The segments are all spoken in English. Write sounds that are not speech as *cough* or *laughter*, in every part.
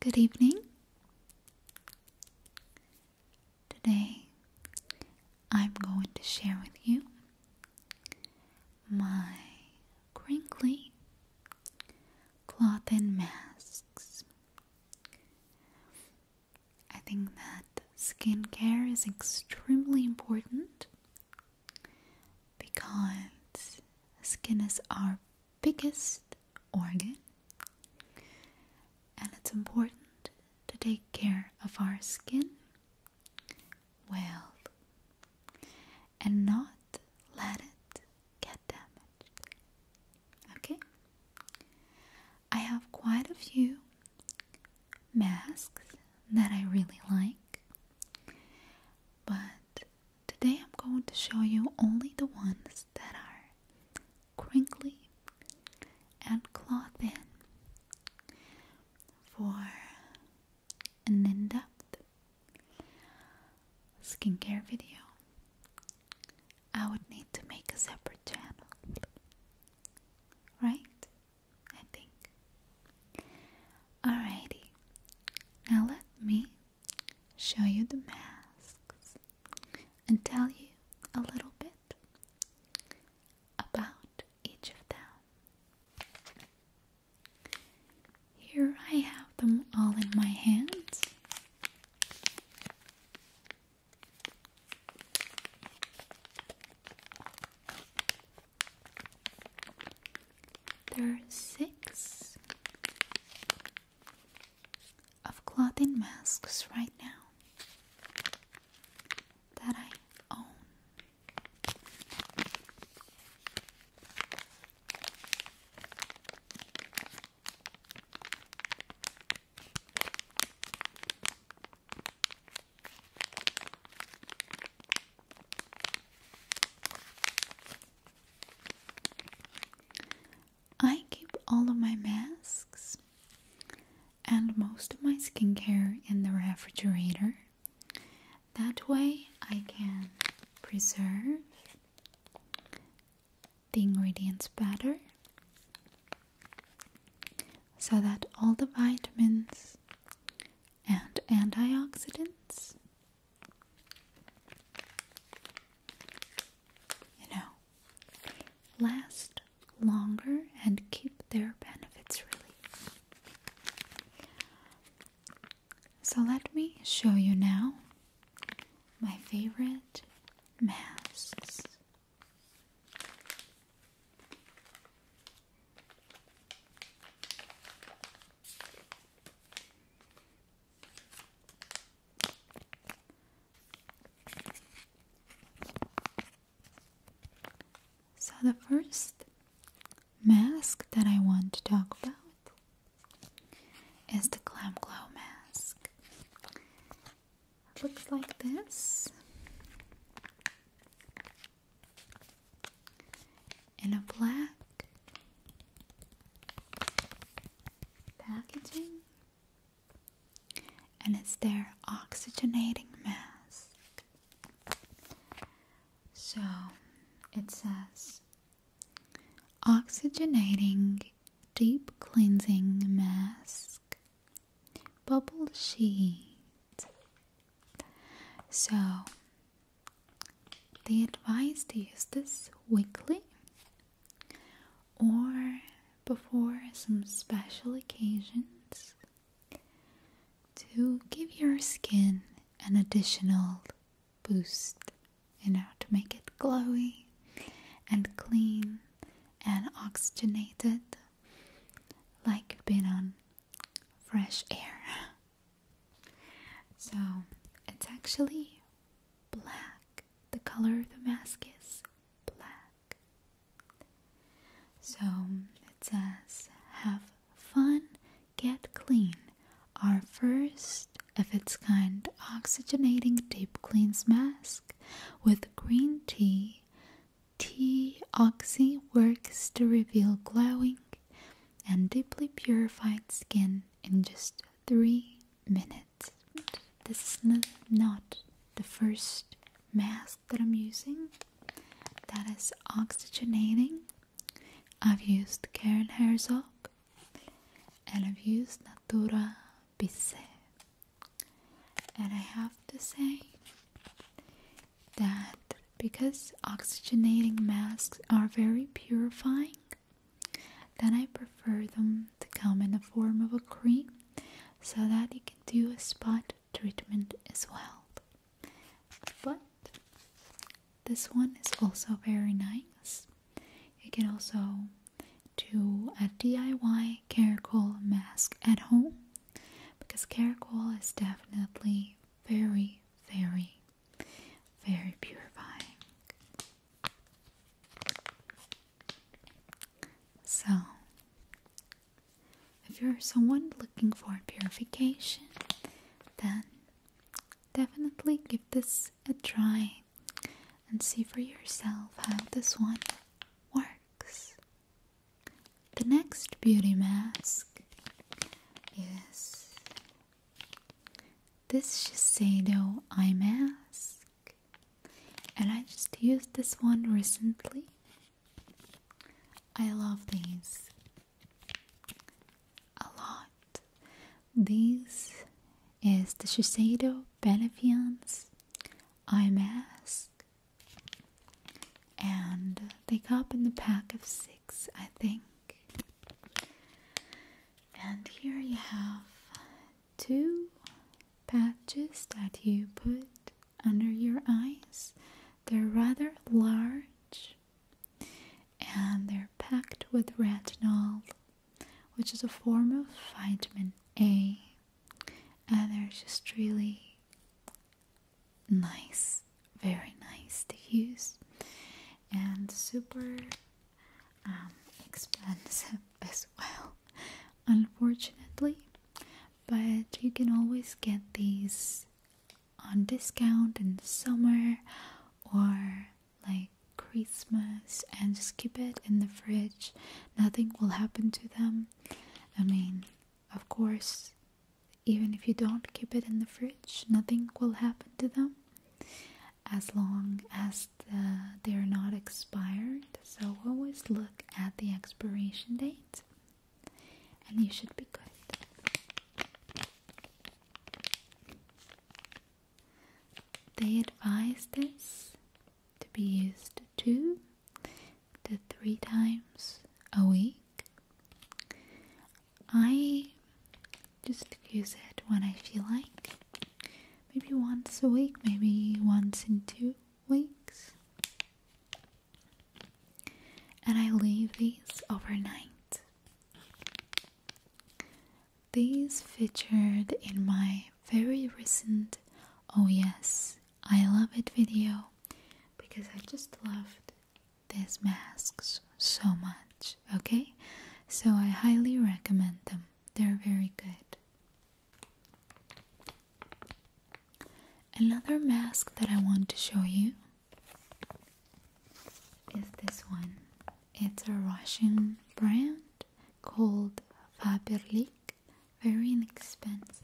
Good evening. Today I'm going to share with you my crinkly cloth and masks. I think that skincare is extremely important because skin is our biggest organ, and it's important to take care of our skin well and not let it get damaged. Okay? I have quite a few masks that I really like, but Today I'm going to show you only the ones that are crinkly and claw thin for an in-depth skincare video. I would need to make a separate channel. Right? I think. Alrighty. Now let me show you the masks, and tell you a little bit about each of them. Here I have them all in my hands. There are six of clothing masks right now that I own. I keep all of my masks and most of my skincare in the refrigerator. That way, I can preserve the ingredients better so that all the vitamins and antioxidants you know, last longer and keep their benefits really. So let me show you now my favorite masks. So, the first mask that I want to talk about is the Glam Glow mask. looks like this in a black packaging and it's their oxygenating mask. So it says oxygenating deep cleansing mask bubble sheet. So they advise to use this weekly or before some special occasions to give your skin an additional boost, in order to make it glowy and clean and oxygenated like being on fresh air. *laughs* So it's actually black. The color of the mask is black. So it says, Have fun, get clean. Our first of its kind oxygenating deep cleans mask with green tea. Tea Oxy works to reveal glowing and deeply purified skin in just three minutes. This is not the first mask that I'm using that is oxygenating. I've used Karen Herzog and I've used Natura Bisse. And I have to say that because oxygenating masks are very purifying, then I prefer them to come in the form of a cream so that you can do a spot treatment as well. But this one is also very nice. You can also do a DIY caracol mask at home because caracol is definitely very, very very purifying. So, if you're someone looking for purification, then definitely give this a try and see for yourself how this one works. The next beauty mask is this Shiseido eye mask, and I just used this one recently. I love these a lot. These is the Shiseido Benefiance eye mask, and they come in the pack of six, I think. And here you have two patches that you put under your eyes. They're rather large and they're packed with retinol, which is a form of vitamin A. And they're just really nice, very nice to use, and super um, expensive *laughs* as well, unfortunately. But you can always get these on discount in summer or like Christmas and just keep it in the fridge. Nothing will happen to them. I mean, of course, even if you don't keep it in the fridge, nothing will happen to them as long as they're not expired. So always look at the expiration date and you should be good. They advise this to be used two to three times a week. I just use it when I feel like. Maybe once a week, maybe once in two weeks. And I leave these overnight. These featured in my very recent Oh Yes, I Love It video because I just loved these masks so much, okay? So I highly recommend them. They're very good. Another mask that I want to show you is this one. It's a Russian brand called Faberlic, very inexpensive.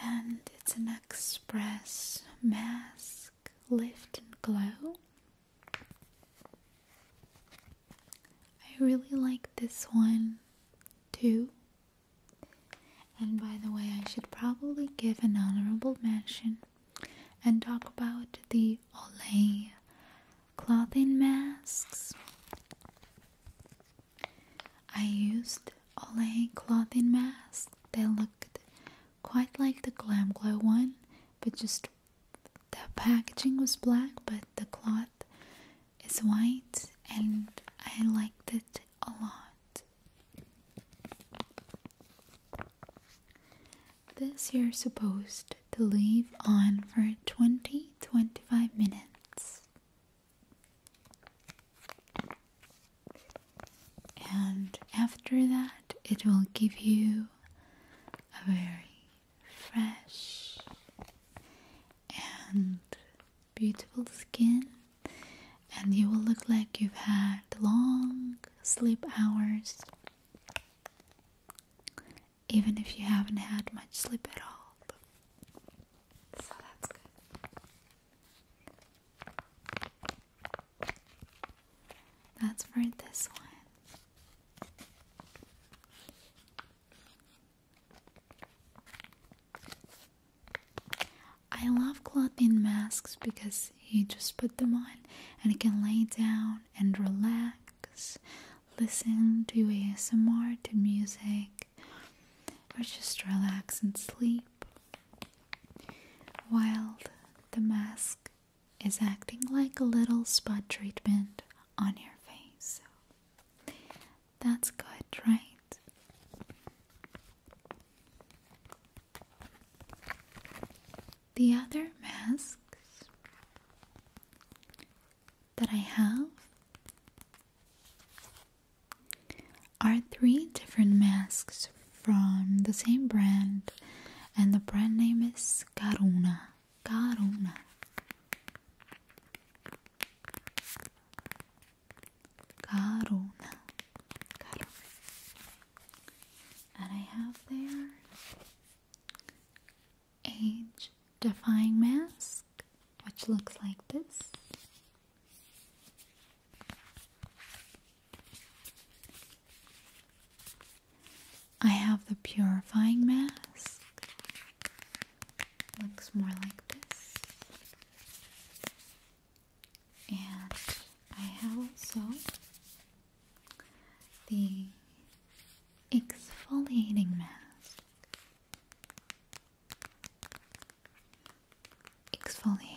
And it's an express mask Lift and Glow. I really like this one too. And by the way, I should probably give an honorable mention and talk about the Olay clothing masks. I used Olay clothing masks. They looked quite like the Glam Glow one, but just the packaging was black, but the cloth is white, and I liked it a lot. This you're supposed to leave on for 20 25 minutes and after that it will give you a very fresh and beautiful skin and you will look like you've had long sleep hours even if you haven't had much sleep at all so that's good that's for this one. I love clothing masks because you just put them on and you can lay down and relax, listen to ASMR, to music, or just relax and sleep while the mask is acting like a little spot treatment on your face. So that's good, right? The other masks that I have are three different masks from the same brand and the brand name is Karuna. Karuna. Karuna. And I have there age defying mask which looks like this I have the purifying mask. Looks more like this. And I have also the exfoliating mask. Exfoliating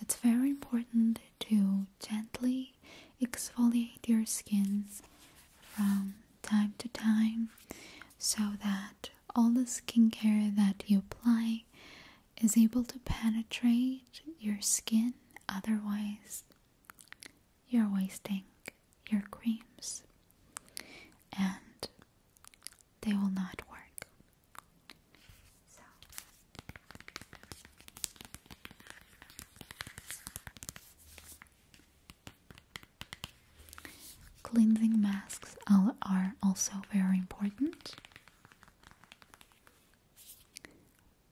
it's very important to gently exfoliate your skins from time to time so that all the skincare that you apply is able to penetrate your skin, otherwise, you're wasting your creams. And they will not work. Cleansing masks are also very important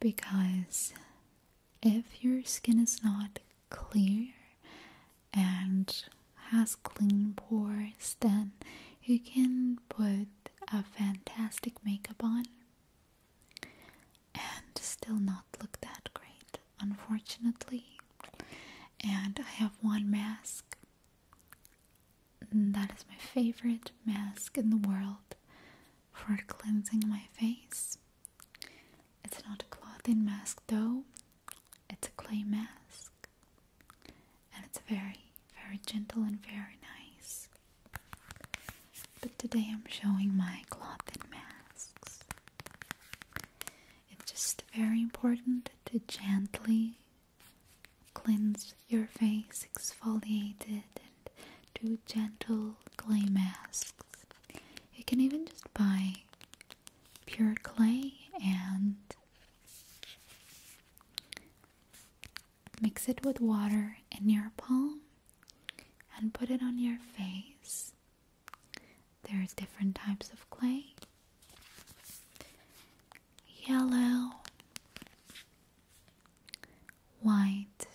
because if your skin is not clear and has clean pores, then you can put a fantastic makeup on and still not look that great, unfortunately. And I have one mask. That is my favorite mask in the world for cleansing my face. It's not a clothing mask though, it's a clay mask and it's very, very gentle and very nice. But today I'm showing my cloth masks. It's just very important to gently cleanse your face, exfoliate it, and do gentle clay masks. You can even just buy pure clay and Mix it with water in your palm and put it on your face. There's different types of clay yellow, white,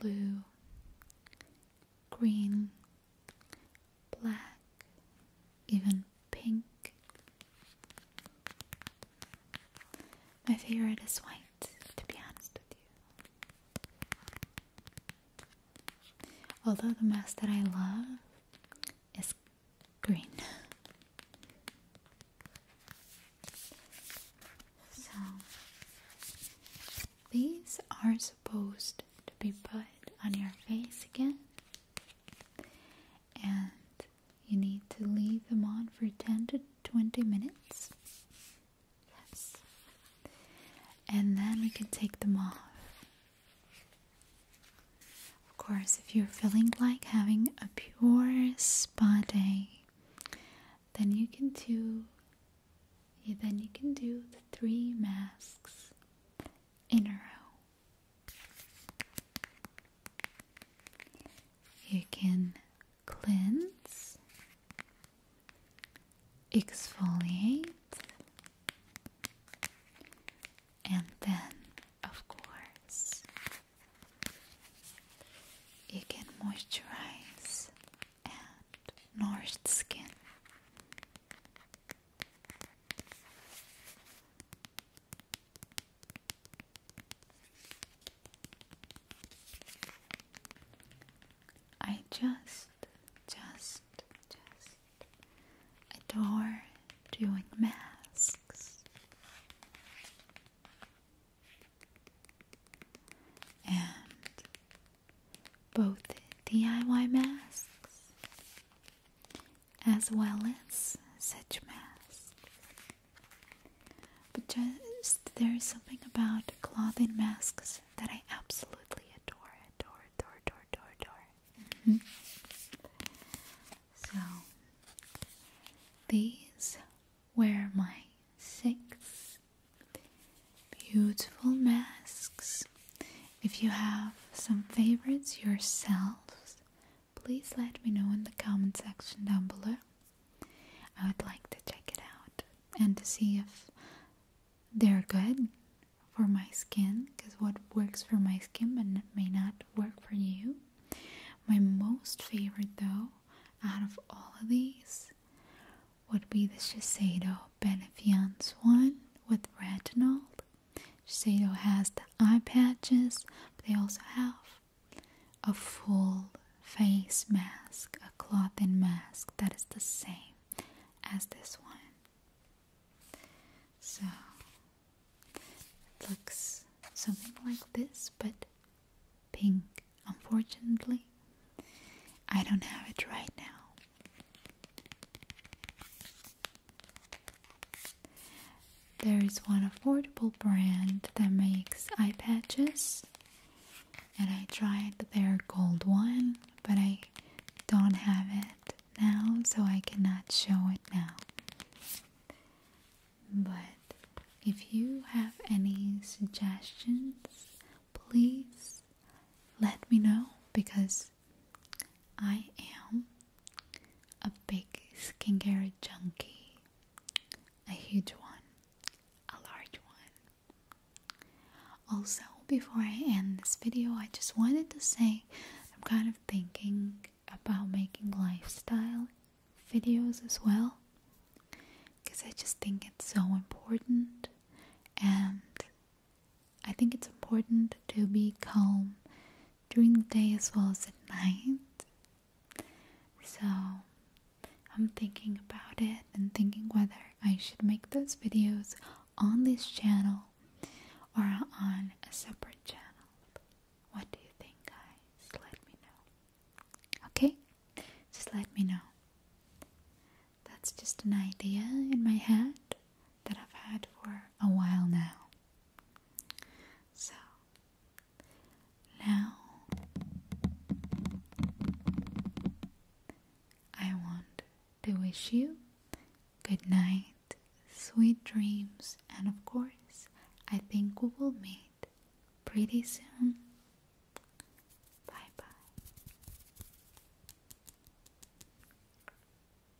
blue, green, black, even pink. My favorite is white, to be honest with you. Although the mask that I love is green. So, these are supposed to be put on your face again and you need to leave them on for 10 to 20 minutes. Yes. And then we can take them off. Of course, if you're feeling like having a pure spa day, then you can do then you can do the three masks in a row. You can cleanse, exfoliate, and then, of course, you can moisturize and nourish the skin. I just, just, just adore doing masks. And both DIY masks as well as such masks. But just there is something about clothing masks that I absolutely adore, adore, adore, adore, adore, adore. Mm-hmm. So these were my six beautiful masks. If you have some favorites yourselves, please let me know in the comment section down below. I would like to check it out and to see if they're good for my skin because what works for my skin may not work for you. My most favorite though out of all of these would be the Shiseido Benefiance one with retinol Shiseido has the eye patches, but they also have a full face mask, a cloth and mask that is the same as this one. So it looks something like this, but pink. Unfortunately, I don't have it right now. There is one affordable brand that makes eye patches, and I tried their gold one, but I don't have it now, so I cannot show it now. But if you have any suggestions, please let me know because I am a big skincare junkie, a huge one, a large one. Also, before I end this video, I just wanted to say I'm kind of thinking about making lifestyle videos as well because I just think it's so important and I think it's important to be calm during the day as well as at night. So I'm thinking about it and thinking whether I should make those videos on this channel or on a separate channel. What do you think, guys? Let me know. Okay? Just let me know. That's just an idea in my head that I've had for a while now. So now I want to wish you good night, sweet dreams, and of course, I think we will meet pretty soon. Bye bye.